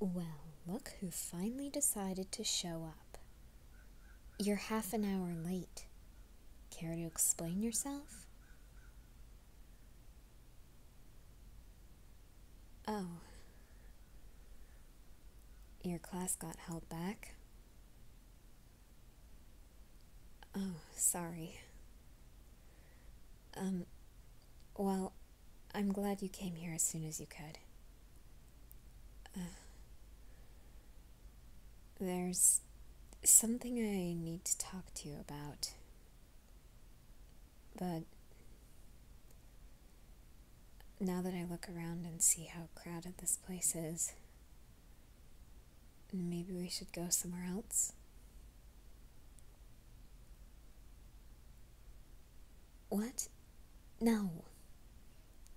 Well, look who finally decided to show up. You're half an hour late. Care to explain yourself? Oh. Your class got held back? Oh, sorry. Um, well, I'm glad you came here as soon as you could. Uh, there's something I need to talk to you about. But now that I look around and see how crowded this place is, maybe we should go somewhere else? What? No.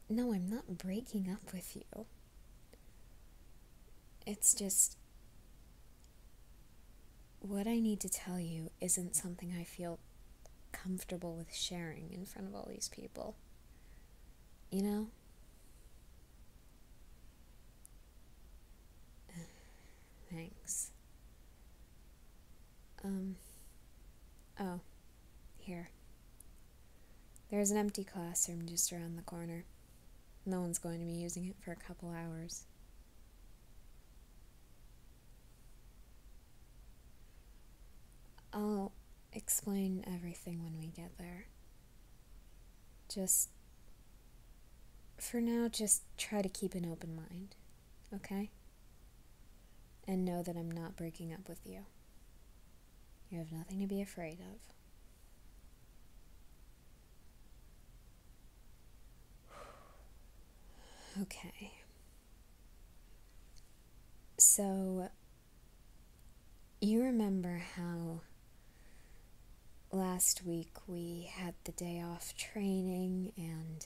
No, I'm not breaking up with you. It's just. What I need to tell you isn't something I feel comfortable with sharing in front of all these people. You know? Thanks. Um. Oh. Here. There's an empty classroom just around the corner. No one's going to be using it for a couple hours. I'll explain everything when we get there. Just for now, just try to keep an open mind, okay? And know that I'm not breaking up with you. You have nothing to be afraid of. Okay. So, you remember how last week we had the day off training and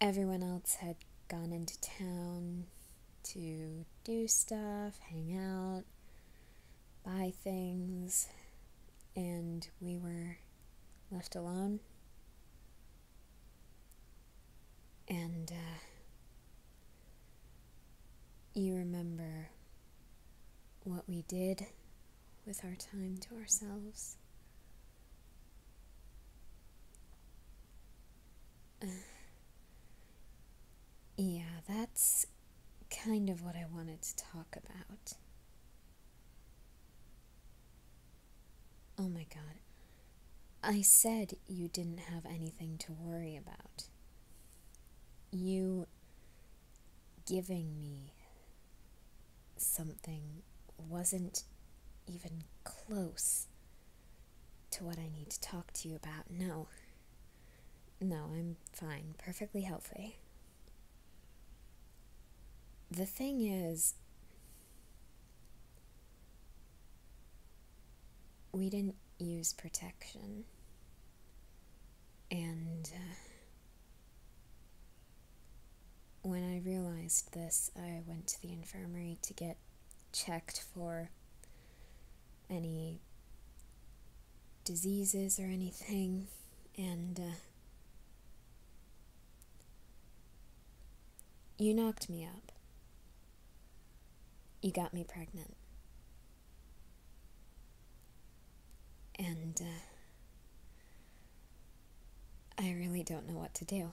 everyone else had gone into town to do stuff, hang out, buy things, and we were left alone. And uh, you remember what we did with our time to ourselves. yeah, that's kind of what I wanted to talk about. Oh my god. I said you didn't have anything to worry about. You giving me something wasn't even close to what I need to talk to you about. No. No, I'm fine. Perfectly healthy. The thing is, we didn't use protection. And uh, when I realized this, I went to the infirmary to get checked for any diseases or anything, and uh, you knocked me up. You got me pregnant. And uh, I really don't know what to do.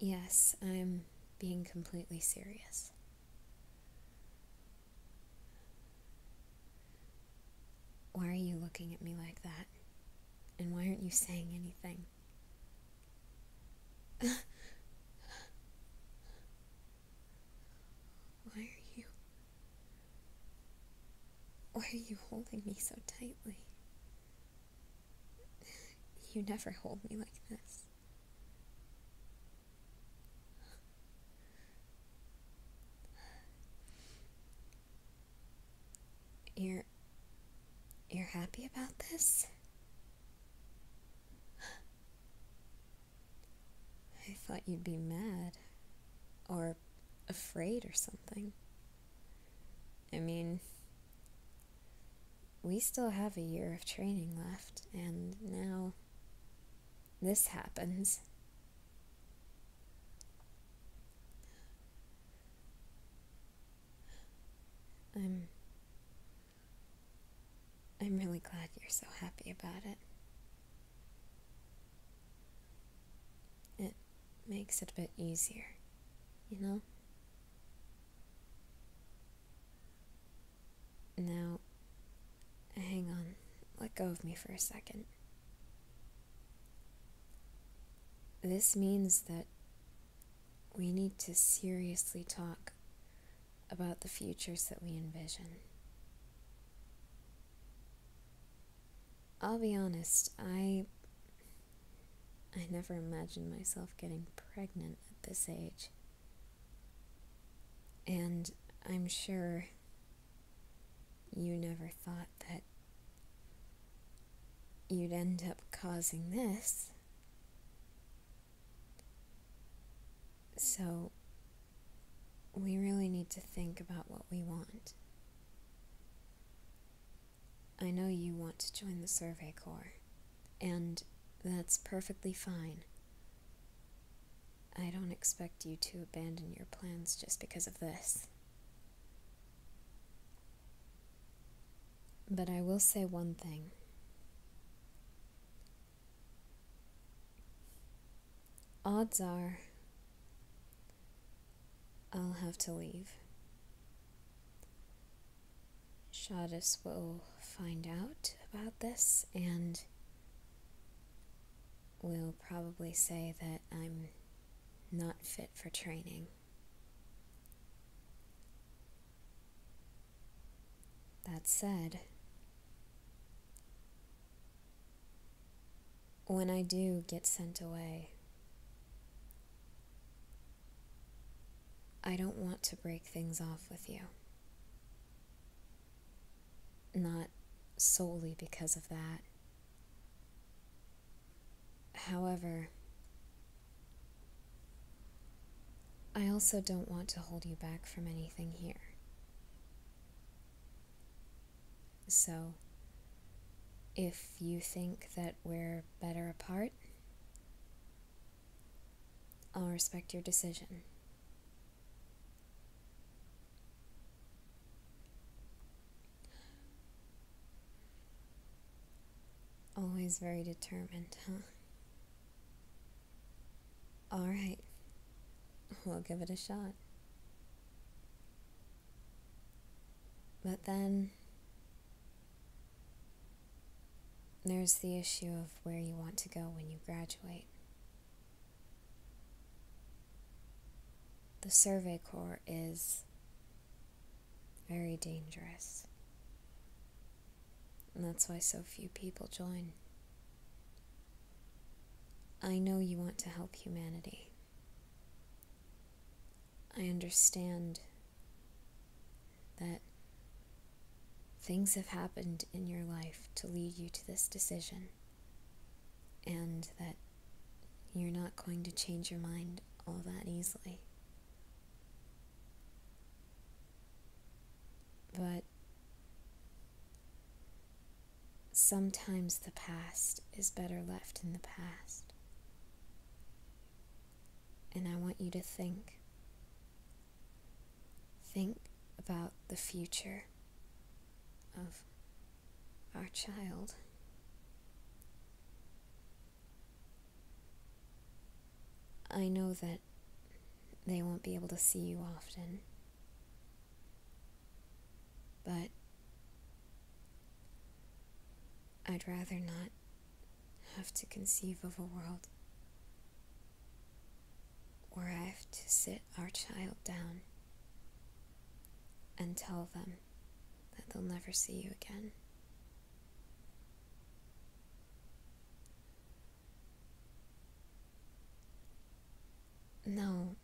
Yes, I'm being completely serious. Why are you looking at me like that? And why aren't you saying anything? Why are you. Why are you holding me so tightly? You never hold me like this. you you're happy about this? I thought you'd be mad. Or afraid or something. I mean, we still have a year of training left, and now this happens. I'm. I'm really glad you're so happy about it. It makes it a bit easier, you know? Now, hang on, let go of me for a second. This means that we need to seriously talk about the futures that we envision. I'll be honest, I I never imagined myself getting pregnant at this age. And I'm sure you never thought that you'd end up causing this. So, we really need to think about what we want. I know you want to join the Survey Corps, and that's perfectly fine. I don't expect you to abandon your plans just because of this. But I will say one thing. Odds are I'll have to leave. Shadis will find out about this and will probably say that I'm not fit for training. That said, when I do get sent away, I don't want to break things off with you. Not solely because of that. However, I also don't want to hold you back from anything here. So, if you think that we're better apart, I'll respect your decision. Always very determined, huh? Alright, we'll give it a shot. But then, there's the issue of where you want to go when you graduate. The Survey Corps is very dangerous. And that's why so few people join. I know you want to help humanity. I understand that things have happened in your life to lead you to this decision, and that you're not going to change your mind all that easily. But sometimes the past is better left in the past. And I want you to think. Think about the future of our child. I know that they won't be able to see you often, but I'd rather not have to conceive of a world where I have to sit our child down and tell them that they'll never see you again. No.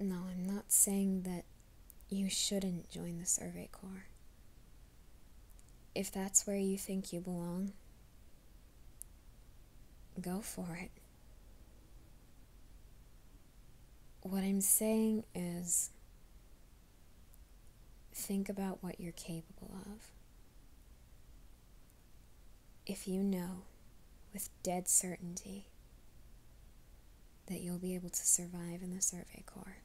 No, I'm not saying that you shouldn't join the Survey Corps. If that's where you think you belong, go for it what I'm saying is think about what you're capable of. If you know with dead certainty that you'll be able to survive in the Survey Corps,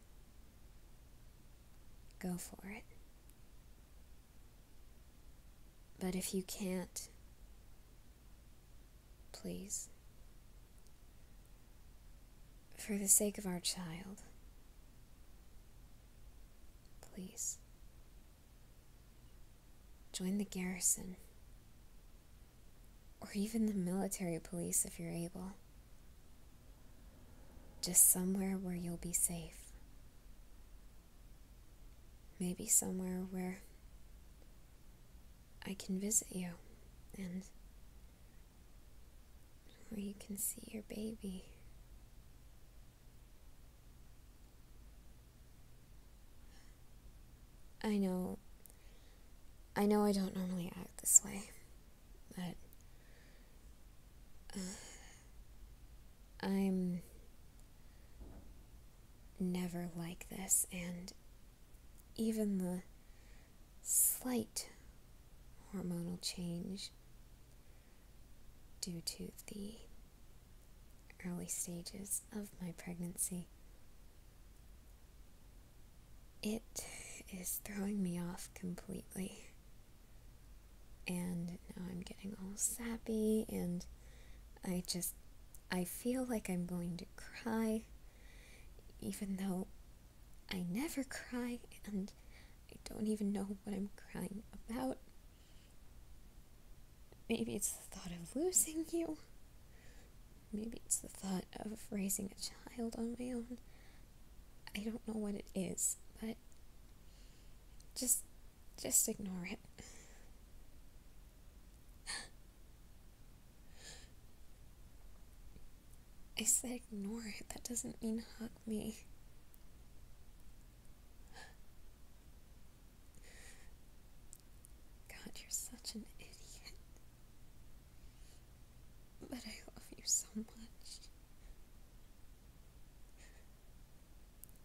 go for it. But if you can't, Please. For the sake of our child. Please. Join the garrison. Or even the military police if you're able. Just somewhere where you'll be safe. Maybe somewhere where I can visit you and where you can see your baby. I know. I know I don't normally act this way, but. Uh, I'm never like this, and even the slight hormonal change due to the early stages of my pregnancy. It is throwing me off completely. And now I'm getting all sappy and I just. I feel like I'm going to cry, even though I never cry and I don't even know what I'm crying about. Maybe it's the thought of losing you. Maybe it's the thought of raising a child on my own. I don't know what it is, but just just ignore it. I said ignore it. That doesn't mean hug me. God, you're such an idiot. But I love you so much.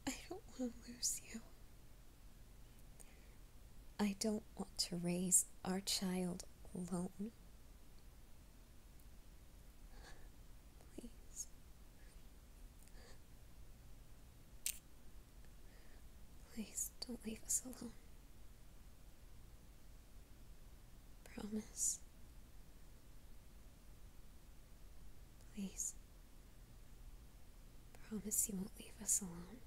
I don't want to lose you. I don't want to raise our child alone. Please. Please don't leave us alone. Promise. Please. Promise you won't leave us alone.